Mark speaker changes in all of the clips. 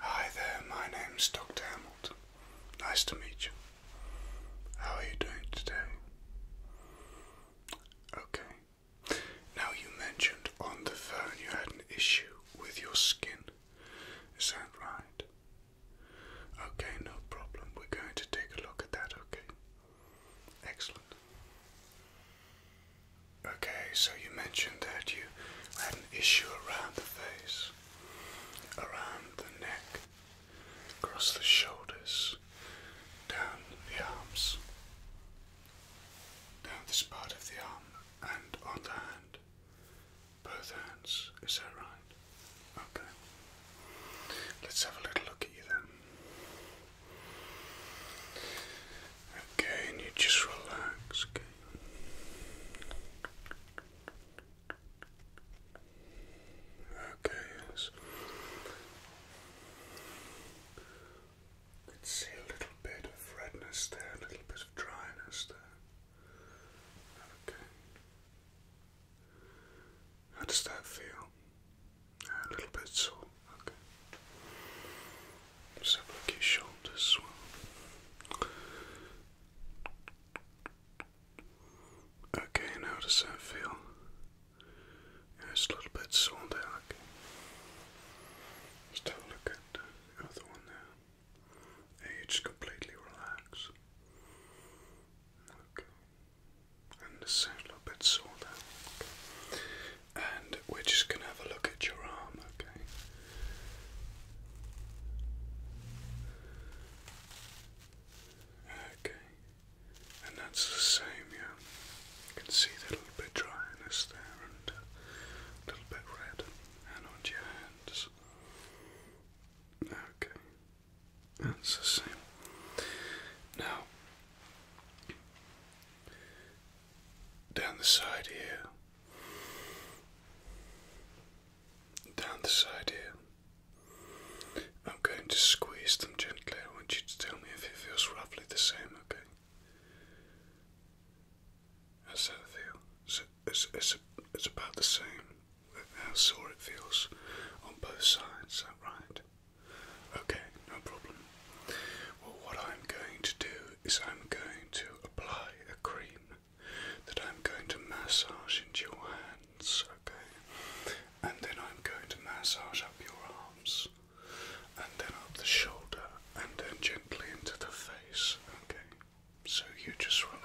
Speaker 1: Hi there, my name's Dr. Hamilton. Nice to meet you. How are you doing today? Okay. Now, you mentioned on the phone you had an issue with your skin. Is that right? Okay, no problem. We're going to take a look at that, okay? Excellent. Okay, so you mentioned that you had an issue around the face, around the neck, across the shoulders, down the arms, down this part of the arm, and on the hand. Both hands, is that right? Okay. Let's have a little look at you then. Okay, and you just relax, okay? yes. I can see a little bit of redness there, a little bit of dryness there. Okay. How does that feel? A little bit sore. Okay let look at his shoulders as Okay, and how does that feel? it's a little bit sore there. Okay. Let's a look at the other one there. It's completely relaxed. Okay. And the a little bit sore there. Okay and we're just going to have a look at your arm, okay? Okay, and that's the same, yeah. You can see the little bit dryness there and a uh, little bit red, and on your hands. Okay, that's the same. Now, down the side here, down the side here. I'm going to squeeze them gently. I want you to tell me if it feels roughly the same, okay? How's that feel? It's, it's, it's, about the same. How sore it feels on both sides, right? Okay, no problem. Well, what I'm going to do is I'm going to apply a cream that I'm going to massage into your hands, okay? And then I'm going to massage up your arms, and then up the shoulder, and then gently into the face, okay? So you just relax.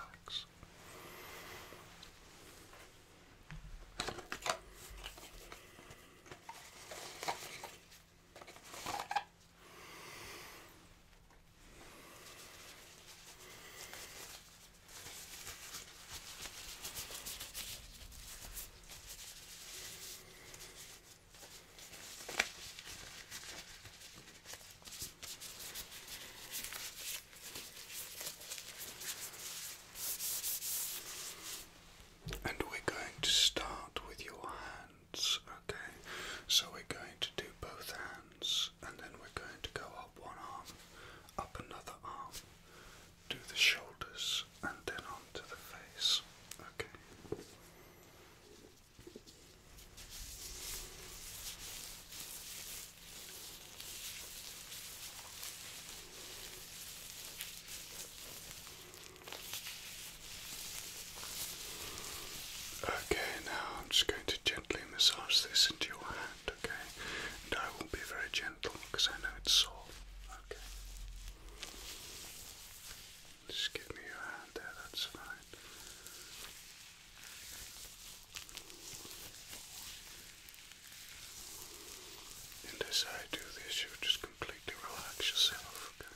Speaker 1: And we're going to start with your hand. Okay, so we're going to do both hands and then we're going to go up one arm, up another arm, do the shoulders, and then onto the face. Okay. Okay, now I'm just going to gently massage this into your hand, okay? And I will be very gentle because I know it's sore, okay? Just give me your hand there, that's fine. And as I do this, you just completely relax yourself, okay?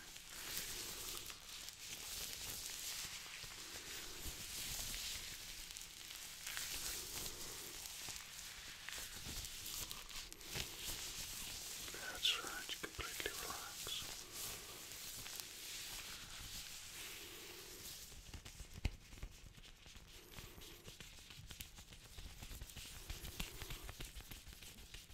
Speaker 1: That's right, completely relax.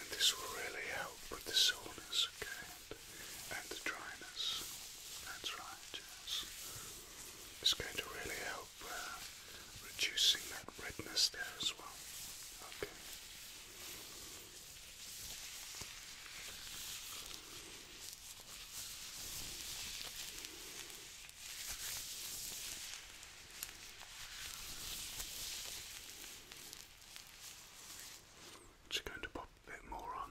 Speaker 1: And this will really help with the soreness, okay, and the dryness. That's right, yes. It's going to really help uh, reducing that redness there as well. Okay. Just going to pop a bit more on.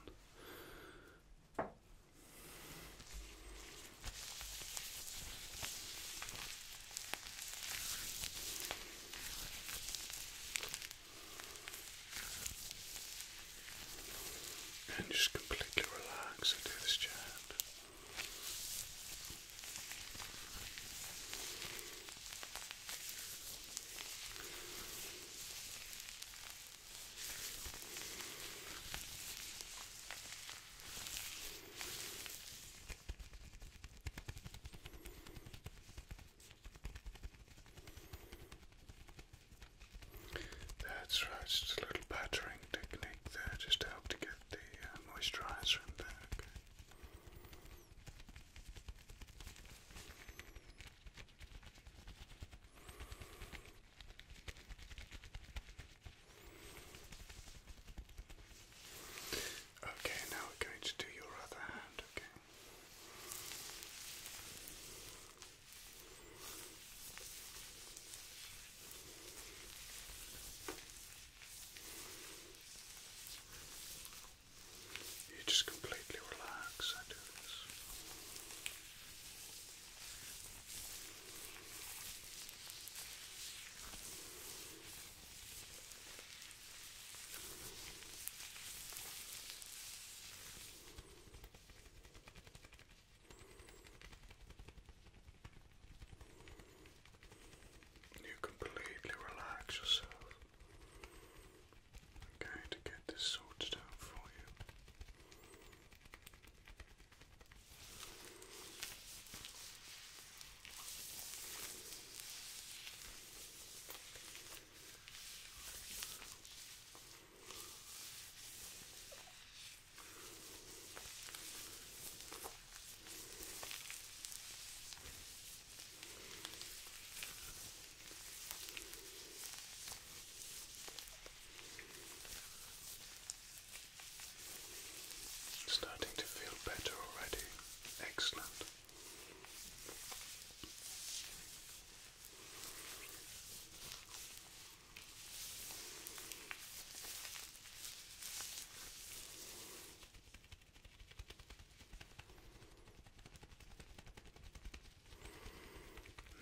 Speaker 1: And just completely relax and do this chat. That's right, just a little battering technique there just to help to get the uh, moisturizer in back. Okay, now we're going to do your other hand, Okay. You just completely relax. I do this. You completely relax yourself. I'm going to get this sorted out for you. Okay. Starting to feel better already. Excellent.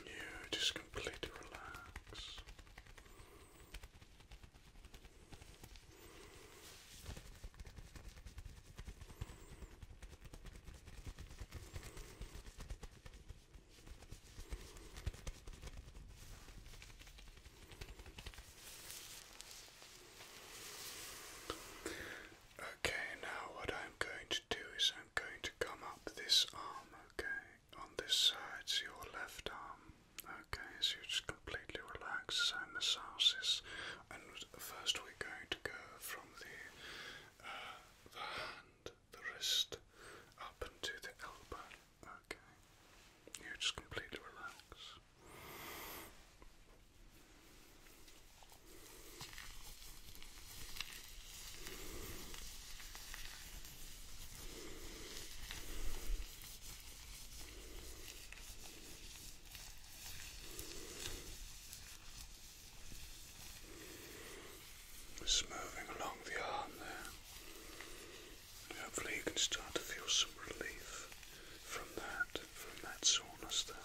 Speaker 1: You just completely relax. Okay, now what I'm going to do is I'm going to come up this arm, okay, on this side, so your left arm, okay, so you just completely relax as I massage this. And first, we're going to go from the uh, the hand, the wrist, up into the elbow. Okay. You just completely relax. Just along the arm there. Hopefully you can start to feel some relief from that, from that soreness there.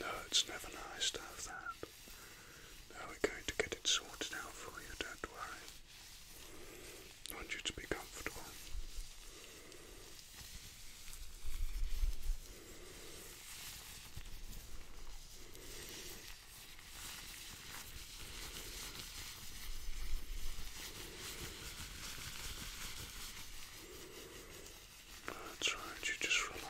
Speaker 1: No, it's never nice to have that. Now we're going to get it sorted out for you, don't worry. I want you to be comfortable. That's right, you just relax.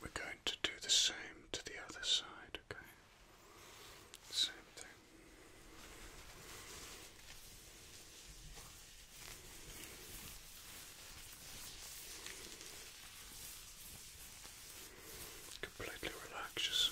Speaker 1: We're going to do the same to the other side, okay? Same thing. Completely relaxes.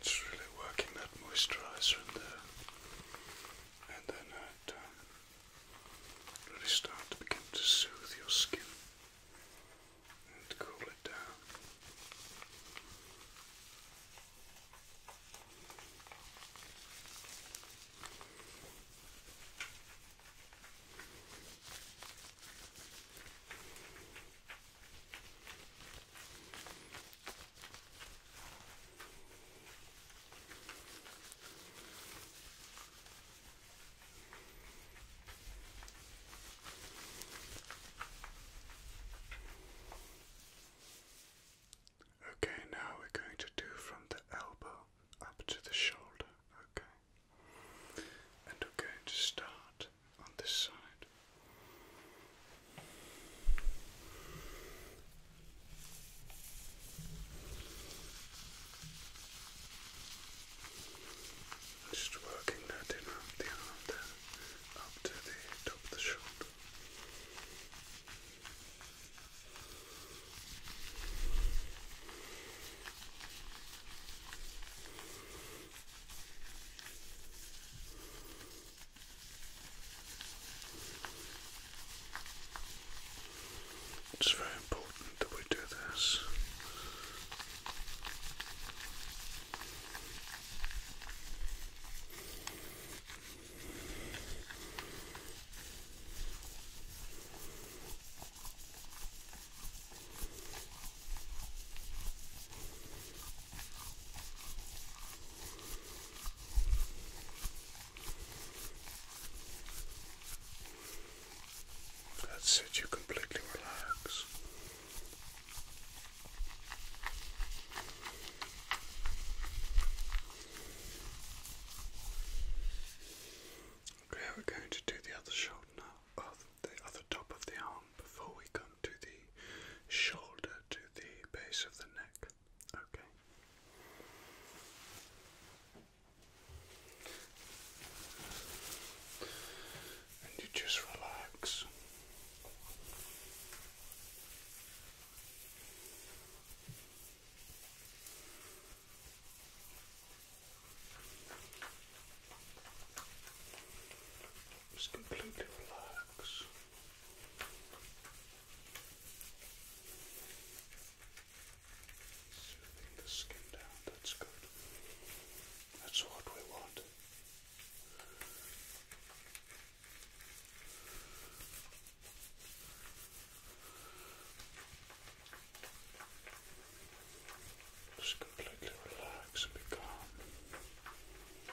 Speaker 1: It's really working that moisturizer in there, and then it really start to begin to soothe your skin and cool it down. Okay, now we're going to do from the elbow up to the shoulder, okay? And we're going to start on this side. Just working that in up the arm up to the top of the shoulder. It's very important that we do this. That's it, you completely relax. Okay, we're going to do the other shoulder the other top of the arm before we come to the shoulder to the base of the neck. Okay and you just relax. Just completely relax. Smoothing the skin down, that's good. That's what we want. Just completely relax and be calm. Good.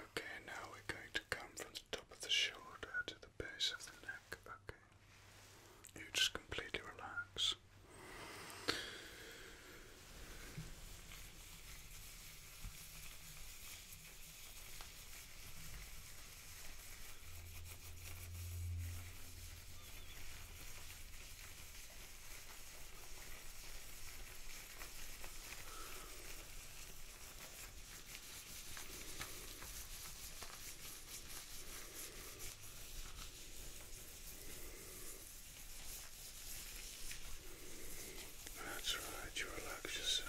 Speaker 1: Okay, now we're going to come from the top of the shoulder to the base of the neck. Okay. You just completely relax. That's right, you relax yourself.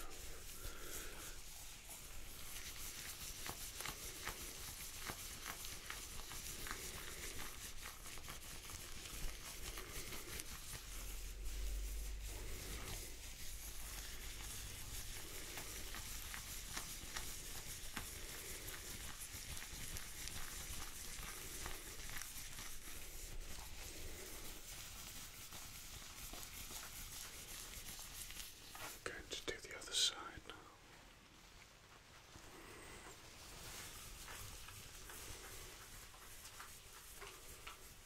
Speaker 1: I'm going to do the other side now.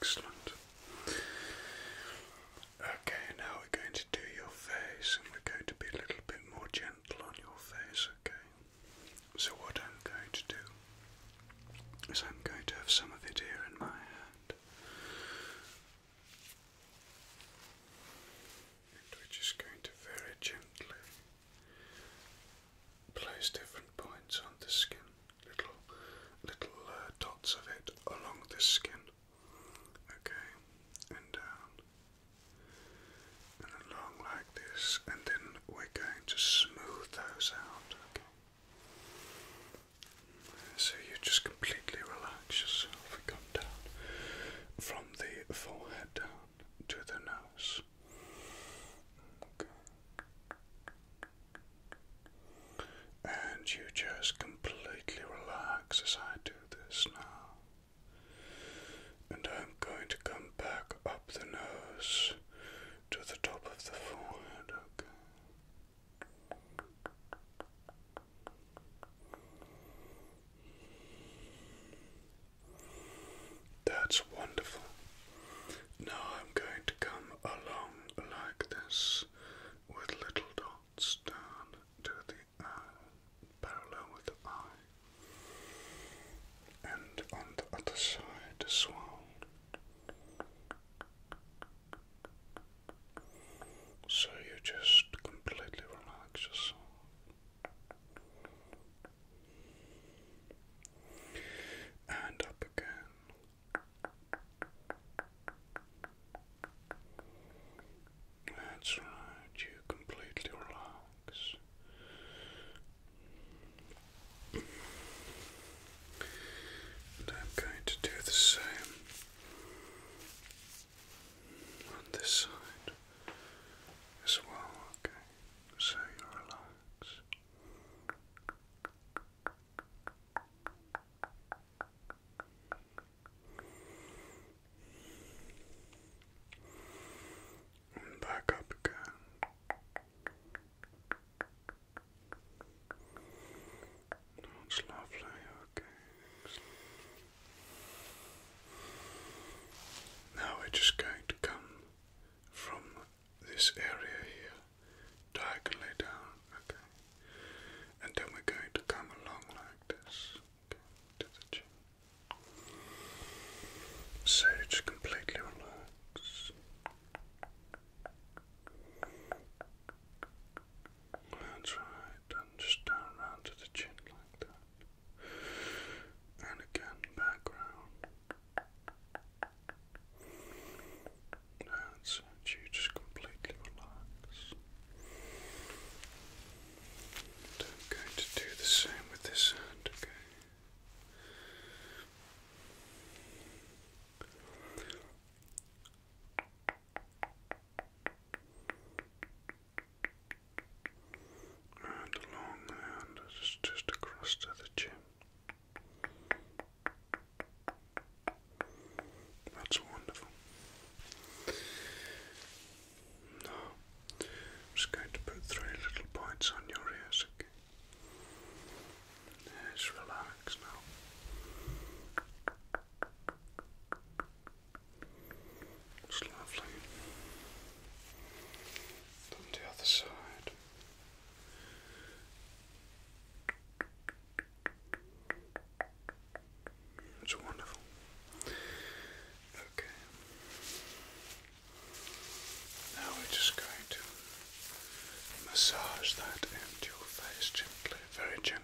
Speaker 1: Excellent. Okay, now we're going to do your face, and we're going to be a little bit more gentle on your face, okay? So, what I'm going to do is I'm going to have some of it here in my hand. And we're just going to very gently place different points on the skin, little little uh, dots of it along the skin. Okay, and down, and along like this, and then we're going to smooth those out. Okay. So you just completely relax yourself. Come down from the forehead down to the nose. Okay. And you just completely relax as I do this now. And I'm going to come back up the nose to the top of the forehead, okay? That's wonderful. Now I'm going to come along like this with little dots down to the eye, uh, parallel with the eye, and on the other side as well. So you just completely relax yourself. And up again. That's right, you completely relax. And I'm going to do the same on this side as well, okay. So you relax. And back up again. That's lovely, Now we're just going to come from this area here diagonally down, okay. And then we're going to come along like this okay, to the chin. So just completely relax. That's right, and just down round to the chin like that. And again, back round. That's it, you just completely relax. I'm going to do the same with this hand, okay? and along and just, just across to the chin. That's wonderful. Now, I'm just going to put three little points on your ears, okay? Yes, relax now. Looks lovely. On the other side. It's wonderful. Okay. Now we're just going to massage that into your face gently, very gently.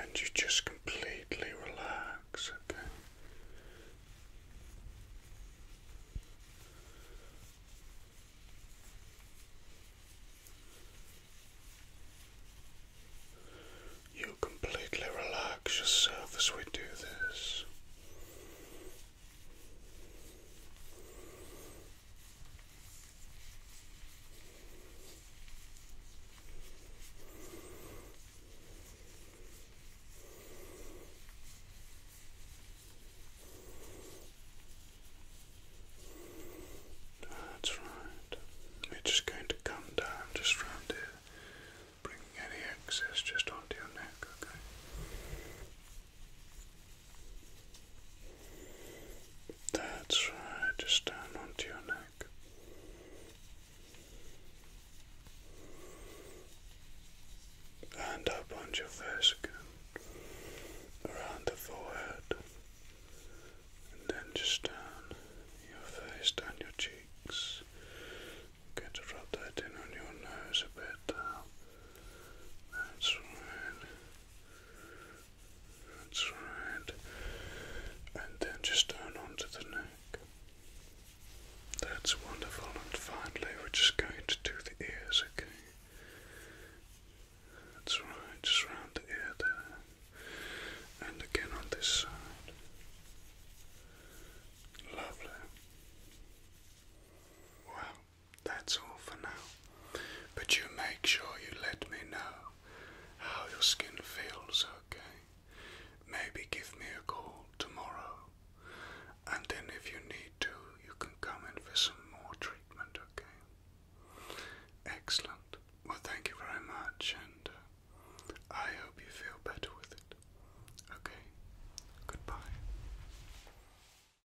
Speaker 1: And you just completely relax, okay? You completely relax yourself as we do this. That's right. we just going to come down just round here, bringing any excess just onto your neck, okay? That's right, just down onto your neck. And up onto your face around the forehead, and then just down your face, down your cheeks. Get to rub that in on your nose a bit That's right. That's right. And then just down onto the neck. That's wonderful. And finally, we're just going to do the ears, okay? That's right, just round the ear there. And again on this side. Lovely. Wow that's all for now. But you make sure you let me know how your skin feels, okay? Maybe give me a call tomorrow, and then if you need to, you can come in for some more treatment, okay? Excellent. Well, thank you very much, and uh, I hope you feel better with it. Okay? Goodbye.